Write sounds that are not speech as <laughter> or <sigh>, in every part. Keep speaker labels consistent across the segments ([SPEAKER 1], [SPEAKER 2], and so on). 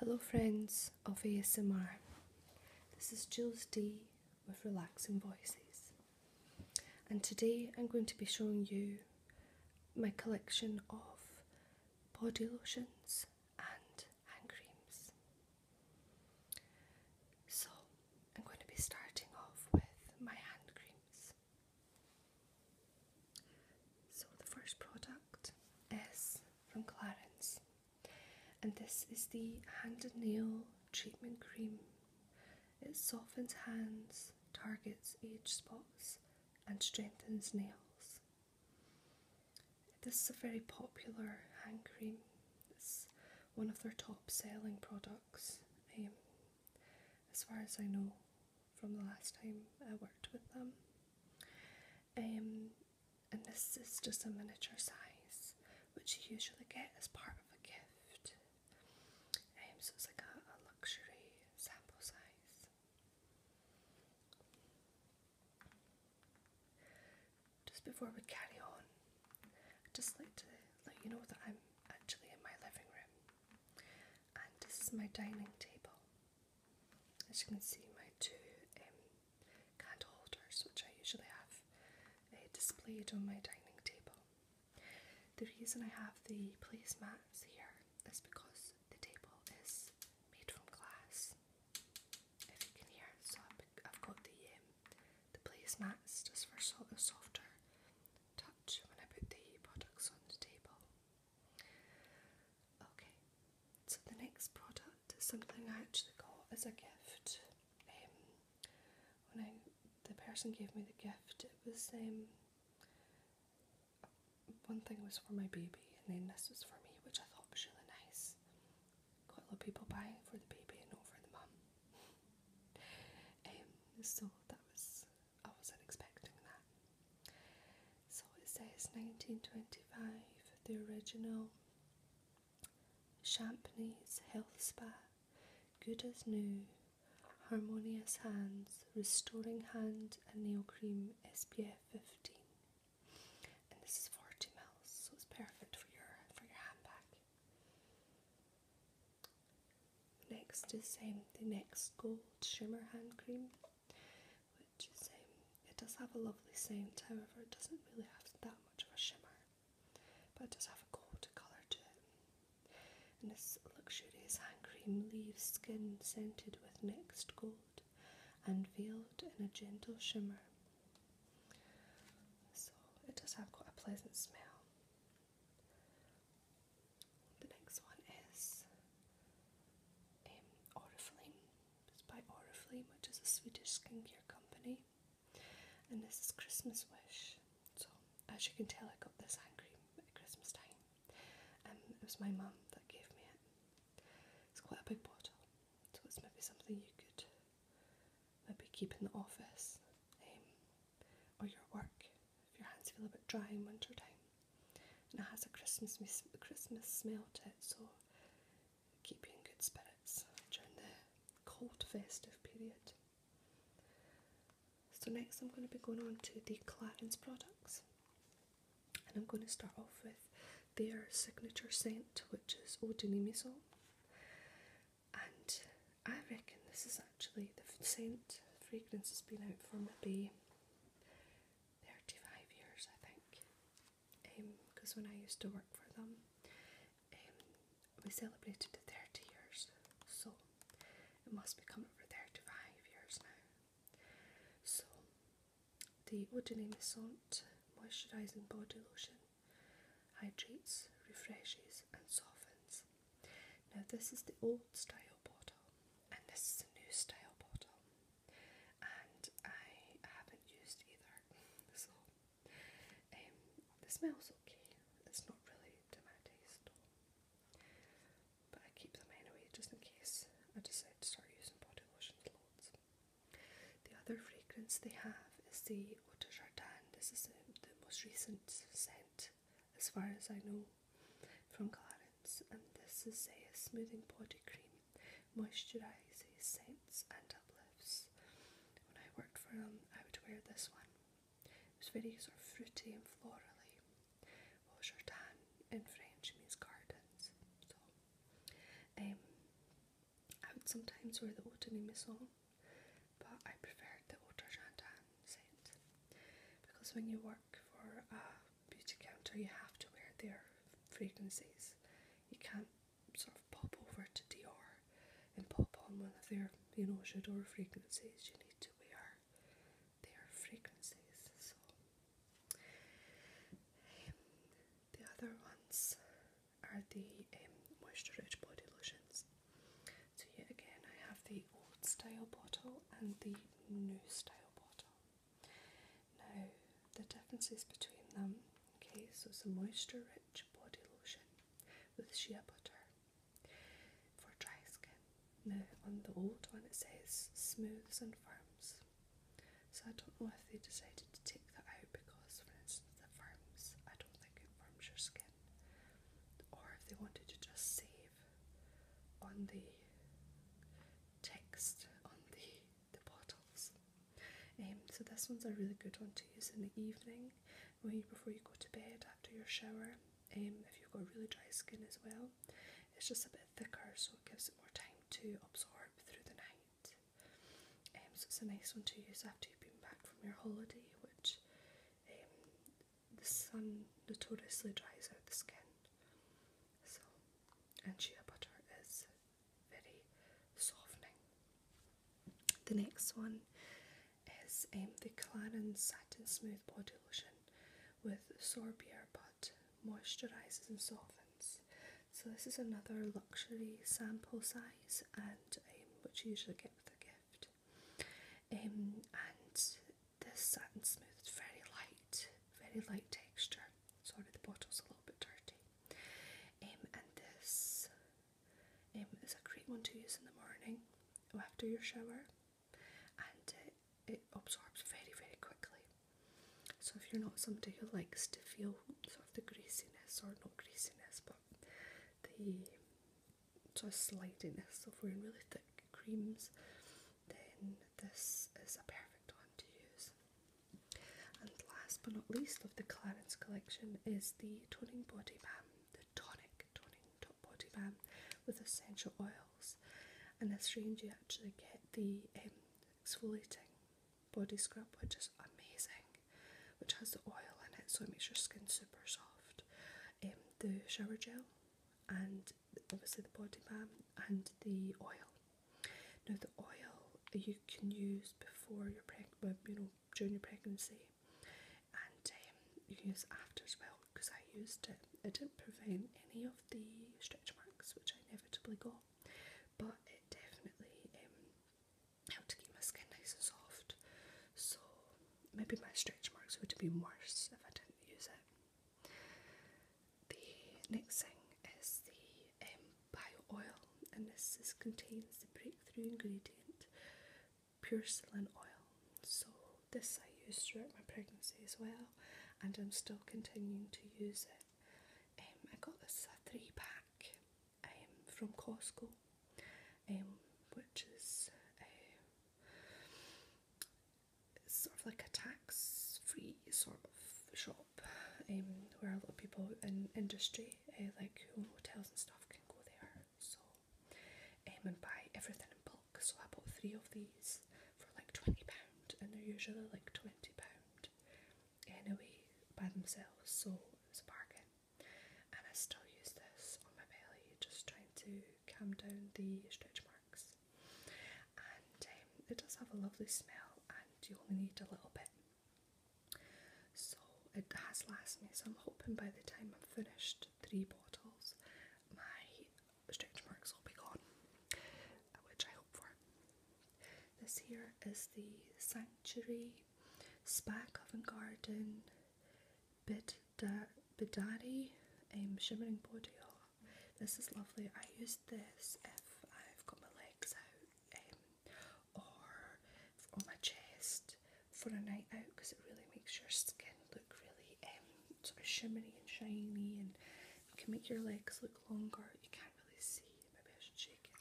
[SPEAKER 1] Hello, friends of ASMR. This is Jules D with Relaxing Voices, and today I'm going to be showing you my collection of body lotions and hand creams. So, I'm going to be starting off with my hand creams. So the first product is from Clarins, and this is the hand and nail treatment cream. It softens hands, targets age spots, and strengthens nails. This is a very popular hand cream. It's one of their top selling products, um, as far as I know, from the last time I worked with them. Um, and this is just a miniature size, which you usually get as part of a gift. Um, so it's like a, a luxury sample size. Just before we carry on, I'd just like to let you know that I'm actually in my living room, and this is my dining table. As you can see, my two um, candle holders, which I usually have uh, displayed on my dining table. The reason I have the placemats here is because the table is made from glass. If you can hear, so I've got the um, the placemats just for sort of softer touch when I put the products on the table. Okay, so the next product is something I actually got as a gift. Um, when I, the person gave me the gift, it was um, one thing was for my baby, and then this was for me, which I thought was really nice. Quite a lot of people buying for the baby and not for the mum. <laughs> um, so that was I was expecting that. So it says 1925, the original Champneys Health Spa, good as new, harmonious hands, restoring hand and nail cream SPF 15. And this is 40 mils, so it's perfect for your for your handbag. Next is um, the next gold shimmer hand cream which is it does have a lovely scent. However, it doesn't really have that much of a shimmer, but it does have a gold colour to it. And this luxurious hand cream leaves skin scented with next gold and veiled in a gentle shimmer. So it does have quite a pleasant smell. The next one is um, Oriflame, it's by Oriflame, which is a Swedish skincare company. And this is Christmas Wish. So, as you can tell, I got this hand cream at Christmas time. and um, it was my mum that gave me it. It's quite a big bottle, so it's maybe something you could maybe keep in the office um, or your work if your hands feel a bit dry in winter time and it has a Christmas Christmas smell to it, so keep you in good spirits during the cold festive period. So next I'm going to be going on to the Clarence products and I'm going to start off with their signature scent which is Eau and I reckon this is actually the scent fragrance has been out for maybe 35 years I think because um, when I used to work for them, um, we celebrated the 30 years, so it must be coming for 35 years now. So, the Eau de Moisturising Body Lotion hydrates, refreshes, and softens. Now, this is the old style bottle, and this is the new style bottle and I haven't used either, <laughs> so um, the smell's okay. It's not really to my taste, but I keep them anyway just in case I decide to start using body lotions loads. The other fragrance they have is the Eau de Jardin. This is the, the most recent scent, as far as I know, from Clarence, and this is a smoothing body cream moisturises, scents and uplifts. When I worked for them, I would wear this one. It was very sort of fruity and florally. Well, jardin in French means gardens, so um, I would sometimes wear the Eau de Maison, but I preferred the Eau Jardin scent because when you work for a beauty counter, you have to wear their fragrances. You can't sort of pop over to Dior and pop on one of their, you know, should J'adore fragrances. You need to wear their fragrances. So the other ones are the moisturized um, moisture rich body lotions. So yet again, I have the old style bottle and the new style bottle. Now, the differences between them okay, so it's a moisture rich body lotion with shea butter for dry skin. Now, on the old one, it says smooths and firms, so I don't know if they decided to take that out because, when it's the firms I don't think it firms your skin, or if they wanted to just save on the text on the the bottles. Um, so this one's a really good one to use in the evening, when before you go to bed after your shower. Um, if you've got really dry skin as well, it's just a bit thicker, so it gives it more time to absorb through the night. Um, so it's a nice one to use after you've been back from your holiday, which um, the sun notoriously dries out the skin. So, and shea butter is very softening. The next one is um, the Clarins Satin Smooth Body Lotion with Sorbier but moisturizes and softens. So this is another luxury sample size, and um, which you usually get with a gift. Um, and this satin smooth, it's very light, very light texture. Sorry, the bottle's a little bit dirty. Um, and this um, is a great one to use in the morning after your shower, and it, absorbs very, very quickly. So if you're not somebody who likes to feel sort of the greasiness or not greasiness, but the just slidiness of wearing really thick creams, then this is a perfect one to use. And last but not least of the Clarence collection is the toning body balm, the tonic toning top body balm with essential oils. And this range you actually get the um, exfoliating body scrub, which is amazing, which has the oil in it, so it makes your skin super soft. Um, the shower gel, and obviously the body balm and the oil. Now the oil you can use before your pregnant, you know, during your pregnancy, and um, you can use after as well. Because I used it, it didn't prevent any of the stretch marks which I inevitably got, but it definitely um, helped to keep my skin nice and soft. So maybe my stretch marks would have been worse if I didn't use it. The next thing is the um, bio oil, and this contains the breakthrough ingredient purslane oil. So this I used throughout my pregnancy as well, and I'm still continuing to use it. Um, I got this a three pack um, from Costco, um, which is uh, sort of like a tax free sort of shop shop um, where a lot of people in industry, uh, like hotels and stuff, can go there. So um, and buy everything in bulk. So I bought three of these for like twenty pound, and they're usually like twenty pound anyway by themselves. So it's a bargain, and I still use this on my belly, just trying to calm down the stretch marks and um, it does have a lovely smell and you only need a little bit. So it has lasted me, so I'm hoping by the time I've finished three bottles my stretch marks will be gone, which I hope for. This here is the Sanctuary Spa Covent Garden Bid Bidari um, Shimmering Body Oil. This is lovely. I use this if I've got my legs out or on my chest for a night out because it really makes your skin look really um, sort of shimmery and shiny and can make your legs look longer. You can't really see. Maybe I should shake it.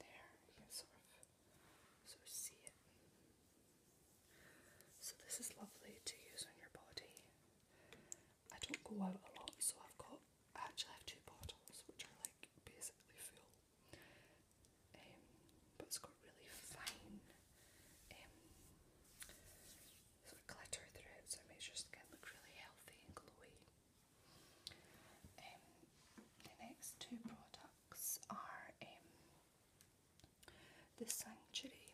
[SPEAKER 1] There, you can sort of, sort of see it. So this is lovely to use on your body. I don't go out a lot, so I've got I actually have two bottles which are like basically full. Um, but it's got really fine um, glitter through so it makes your skin look really healthy and glowy. Um, the next two products are um, the Sanctuary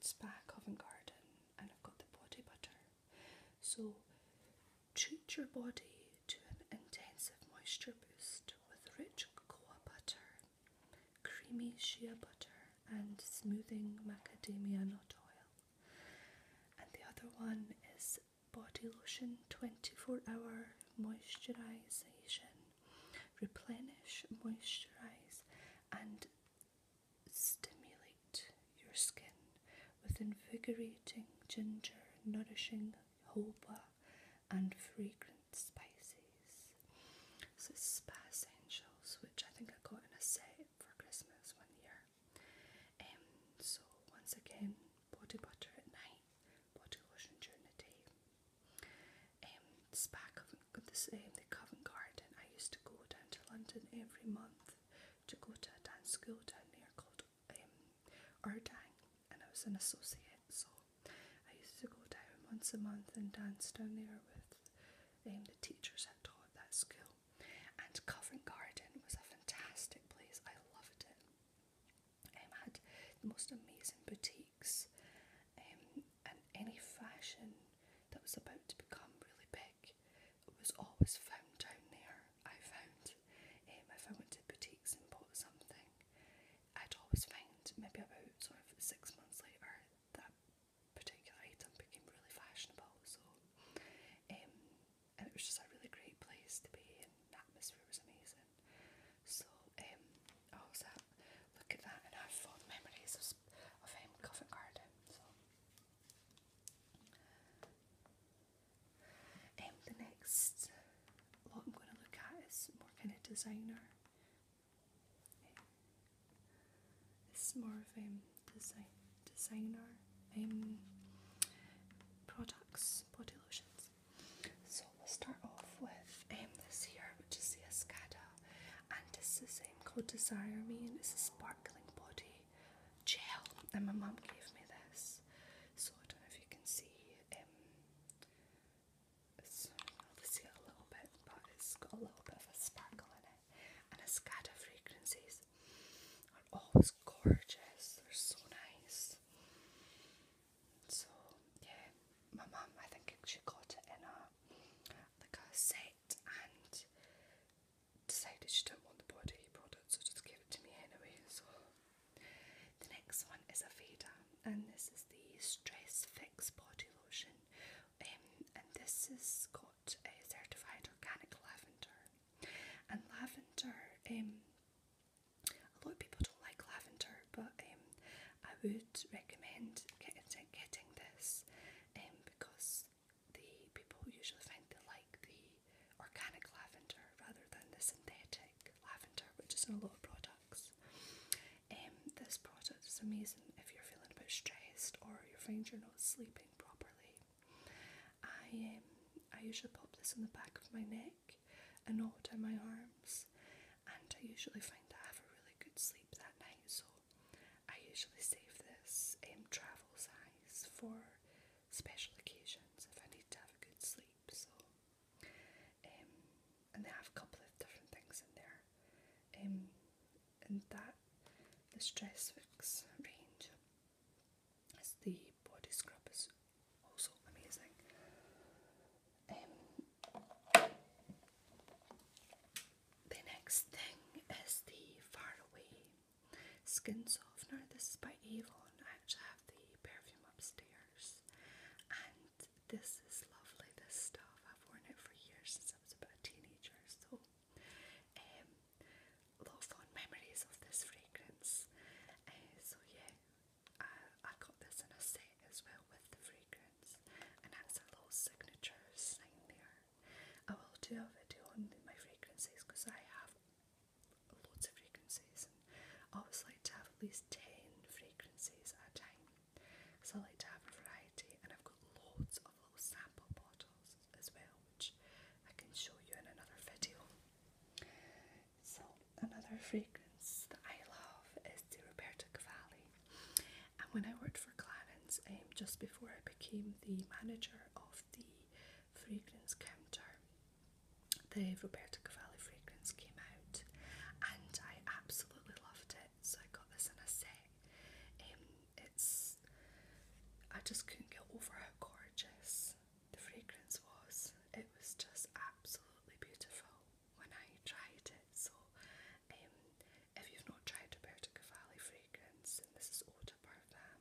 [SPEAKER 1] Spa Covent Garden and I've got the body butter. So treat your body to an intensive moisture boost with rich cocoa butter, creamy shea butter and smoothing macadamia nut oil. And the other one is body lotion 24 hour moisturization. Replenish, moisturize and Stimulate your skin with invigorating ginger, nourishing jojoba, and fragrant spices. So Spa Essentials, which I think I got in a set for Christmas one year. Um, so once again, body butter at night, body lotion during the day. Um, spa Covent, the, um, the Covent Garden. I used to go down to London every month to go to a dance school down there called um, Erdang, and I was an associate, so I used to go down once a month and dance down there with um, the teachers that taught that school. And Covent Garden was a fantastic place. I loved it. Um, I had the most amazing boutiques um, and any fashion that was about to become really big like it was always found down there. I found um, if I went to boutiques and bought something, I'd always find maybe about sort of six months later that particular item became really fashionable. So, um, and it was just a really great place to be, and the atmosphere was amazing. So, um, I always have, look at that and have fond memories of, of um, Covent Garden. So, um, the next lot I'm going to look at is more kind of designer. Um, it's more of um, design designer um, products, body lotions. So we'll start off with um, this here, which is the Escada and it's the same called Desire Me, and it's a sparkling body gel. And my mum gave me this, so I don't know if you can see. Um, it's i it a little bit, but it's got a little bit of a sparkle in it, and a Ascada fragrances are always gorgeous. They're so nice. So yeah, my mum I think she got it in a like and decided she didn't want the body product, so just gave it to me anyway. So the next one is a feeder, and this is the Stress Fix Body Lotion, um, and this has got a certified organic lavender. And lavender, um, a lot of people don't like lavender, but um, I would recommend getting, getting this um, because the people usually find they like the organic lavender rather than the synthetic lavender, which is in a lot of products. Um, this product is amazing if you're feeling a bit stressed or you find you're not sleeping properly. I um, I usually pop this on the back of my neck and all down my arms, and I usually find that I have a really good sleep that night. So I usually save this um, travel size for special occasions if I need to have a good sleep. So, um, and they have a couple of different things in there, um, and that the Stress Fix range as the body scrub is also amazing. Um, the next thing is the Faraway Skin Softener. This is by Avon. I actually have the perfume upstairs. And this is lovely, this stuff. I've worn it for years since I was about a teenager. So, um, a of fond memories of this fragrance. Uh, so, yeah, I, I got this in a set as well with the fragrance. And that's a little signature sign there. I will do a video on my fragrances because I have lots of fragrances and I always like to have at least 10 fragrances at a time because I like to have a variety and I've got loads of little sample bottles as well which I can show you in another video. So another fragrance that I love is the Roberto Cavalli and when I worked for Clarence, um, just before I became the manager of the fragrance counter, the Roberto Cavalli fragrance came out and I absolutely loved it. So I got this in a set. Um, it's, I just couldn't get over how gorgeous the fragrance was. It was just absolutely beautiful when I tried it. So um, if you've not tried Roberta Cavalli fragrance, and this is Eau de them,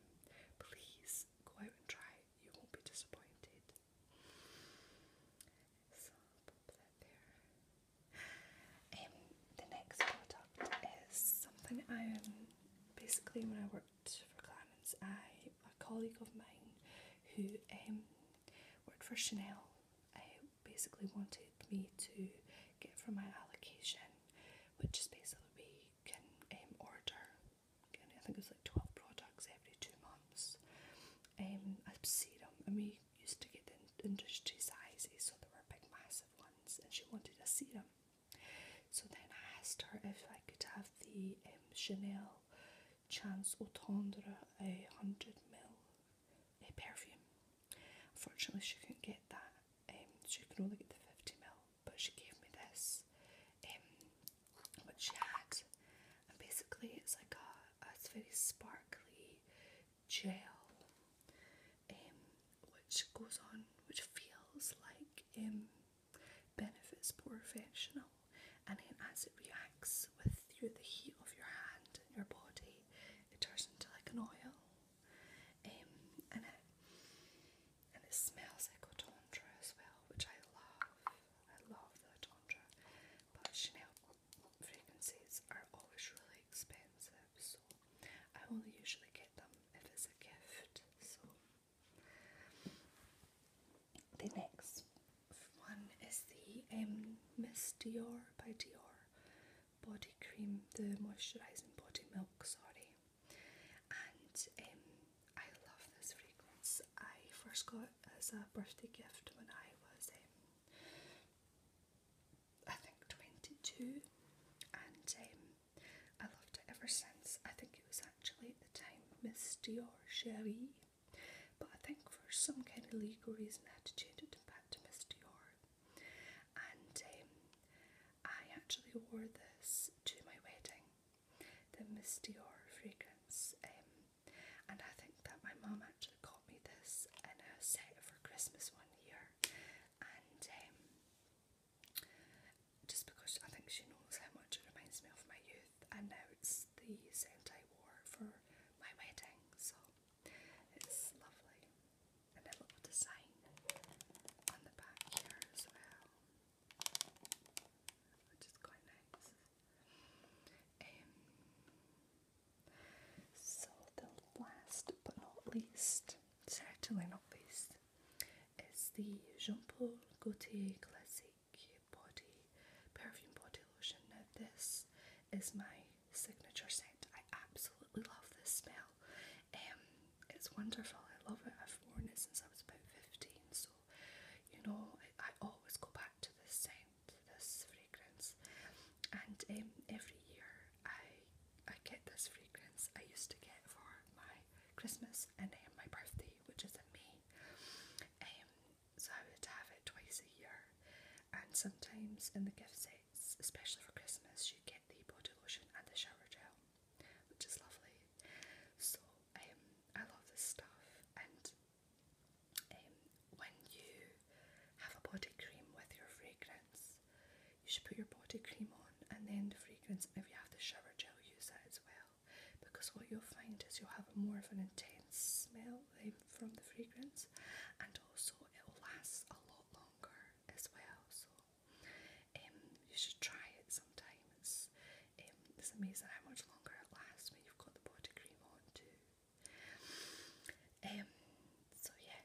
[SPEAKER 1] please go out and try You won't be disappointed. So, pop that there. Um, the next product is something I am basically when I worked for Clarence, I a colleague of mine who um, worked for Chanel, I uh, basically wanted me to get from my allocation which is basically we can um, order, I think it was like 12 products every two months, um, seen them, and we used to get the industry sizes, so there were big massive ones, and she wanted to see them, So then I asked her if I could have the um, Chanel Chance au Tendre a 100 mil a perfume. Unfortunately, she couldn't get that. Um, she could only get the 50 mil, but she gave me this, um, which she had. And basically, it's like a, it's very sparkly gel, um, which goes on, which feels like um, benefits professional, and then as it reacts with through the heat of your hand your body, it turns into like an oil um, it. And it smells like Odontra as well, which I love. I love the Odontra. But Chanel fragrances are always really expensive, so I only usually get them if it's a gift. So the next one is the um, Miss Dior by Dior body cream, the moisturising body milk, sorry. And um, I love this fragrance. I first got as a birthday gift when I was, um, I think, 22, and um, I loved it ever since. I think it was actually at the time Miss Dior Cherie, but I think for some kind of legal reason I had to change it back to Miss Dior and um, I actually wore this to my wedding, the Miss Dior fragrance, um, and I think that my mom actually got me this in a set for Christmas one year, and um, just because I think she knows how much it reminds me of my youth, and now it's the scent I wore for my wedding, so it's lovely and a little design on the back here as well, which is quite nice. Um, so the last but not least, certainly not least, is the Jean Paul Gaultier Classic Body Perfume Body Lotion. Now this is my signature scent. I absolutely love this smell. Um, it's wonderful. I love it. I've worn it since I was about fifteen. So, you know, I, I always go back to this scent, this fragrance, and um, every year I I get this fragrance. I used to get for my Christmas and um, my birthday, which is in me. Um, so I would have it twice a year, and sometimes in the gift set especially for Christmas, you get the body lotion and the shower gel, which is lovely. So um, I love this stuff, and um, when you have a body cream with your fragrance, you should put your body cream on and then the fragrance. if you have the shower gel, use that as well, because what you'll find is you'll have more of an intense smell um, from the fragrance, and also it will last a lot longer as well. So um, you should try it sometime. Um, it's, amazing how much longer it lasts when you've got the body cream on too. Um, so yeah.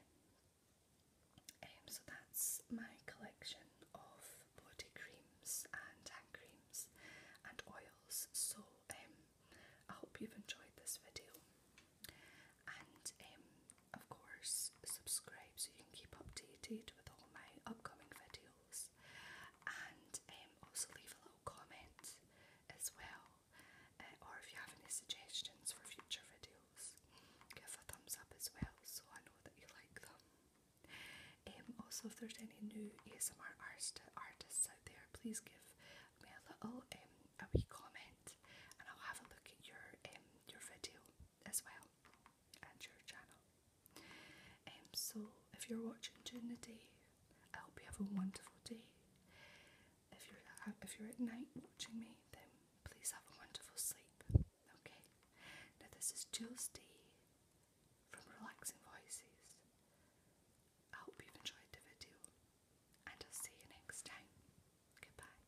[SPEAKER 1] so that's my collection of body creams and hand creams and oils. So I hope you've enjoyed this video and um, of course subscribe so you can keep updated with all my upcoming videos and um, also leave a little comment as well uh, or if you have any suggestions for future videos give a thumbs up as well so I know that you like them. Um, also if there's any new ASMR artists out there please give me a little um, a wee comment and I'll have a look at your um, your video as well and your channel. Um, so, if you're watching during the day, I hope you have a wonderful day. If you're at, if you're at night watching me, then please have a wonderful sleep. Okay. Now this is Jules D from Relaxing Voices. I hope you've enjoyed the video, and I'll see you next time. Goodbye.